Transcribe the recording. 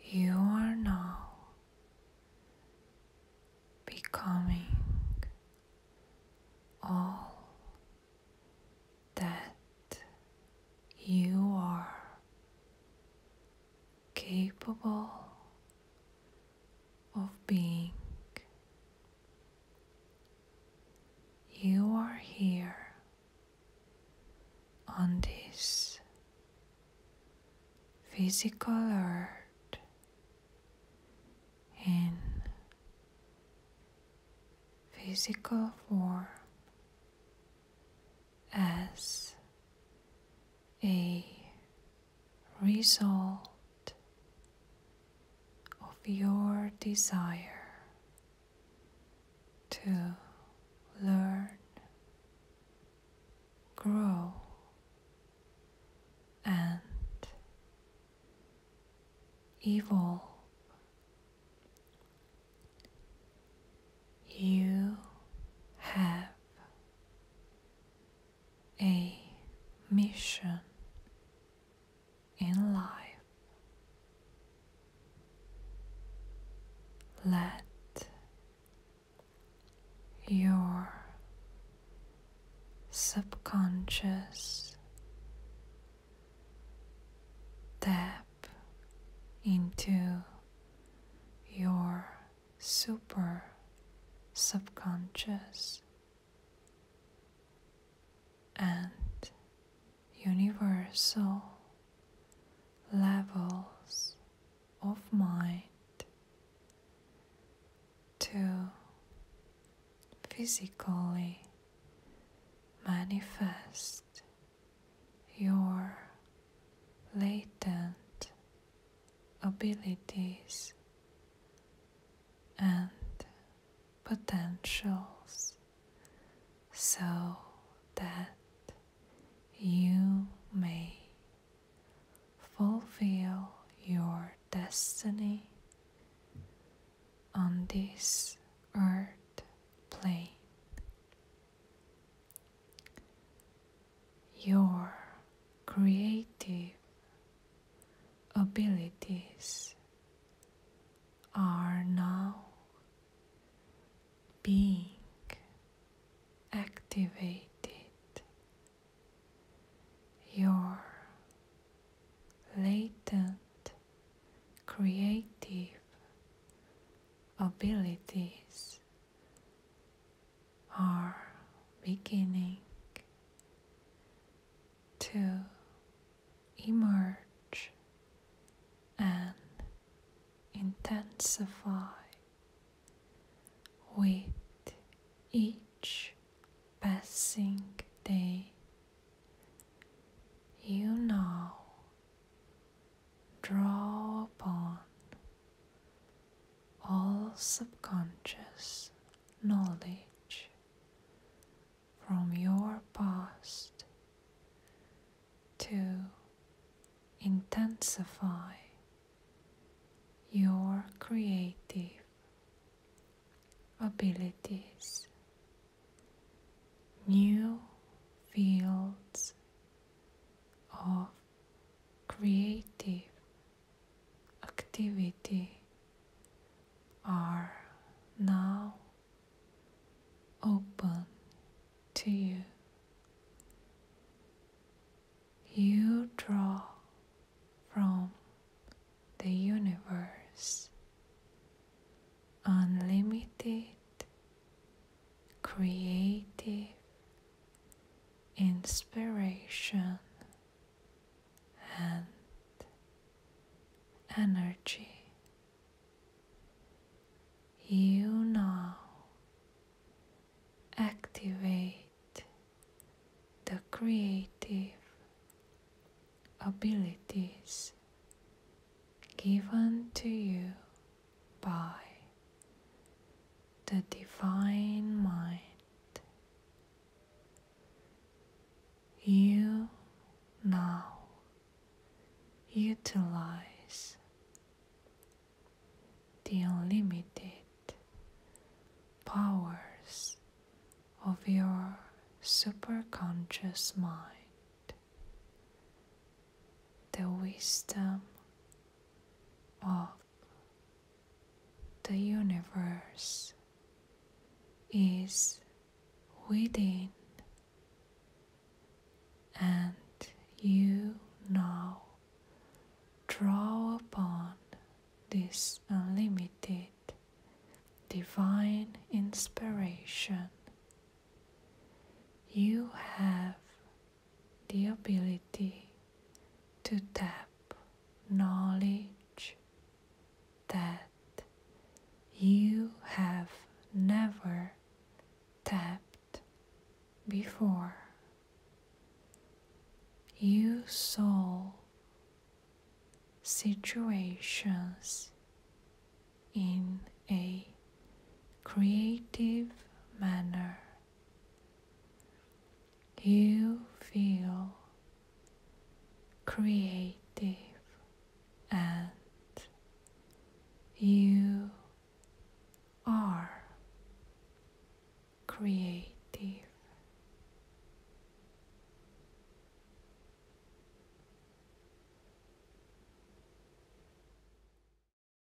You are now becoming all that you are capable of being. You are here on this physical earth in physical form as a result of your desire to learn, grow, and evolve. You have a mission in life. Let your subconscious tap into your super subconscious and universal levels of mind to physically manifest your latent abilities and potentials so that you may fulfill your destiny on this earth plane. Your creative abilities are now being activated. Your latent creative abilities are beginning to emerge and intensify with each passing day. You now draw upon all subconscious knowledge from your past to intensify your creative abilities, new fields of creative activity are now open to you. You draw from the universe unlimited creative inspiration and energy. You now activate the creative abilities given to you by the divine mind. You now utilize the unlimited powers of your superconscious mind, the wisdom of the universe is within and you now draw upon this unlimited divine inspiration. You have the ability to tap knowledge that you have never tapped before. You solve situations in a creative manner. You feel creative and you are creative.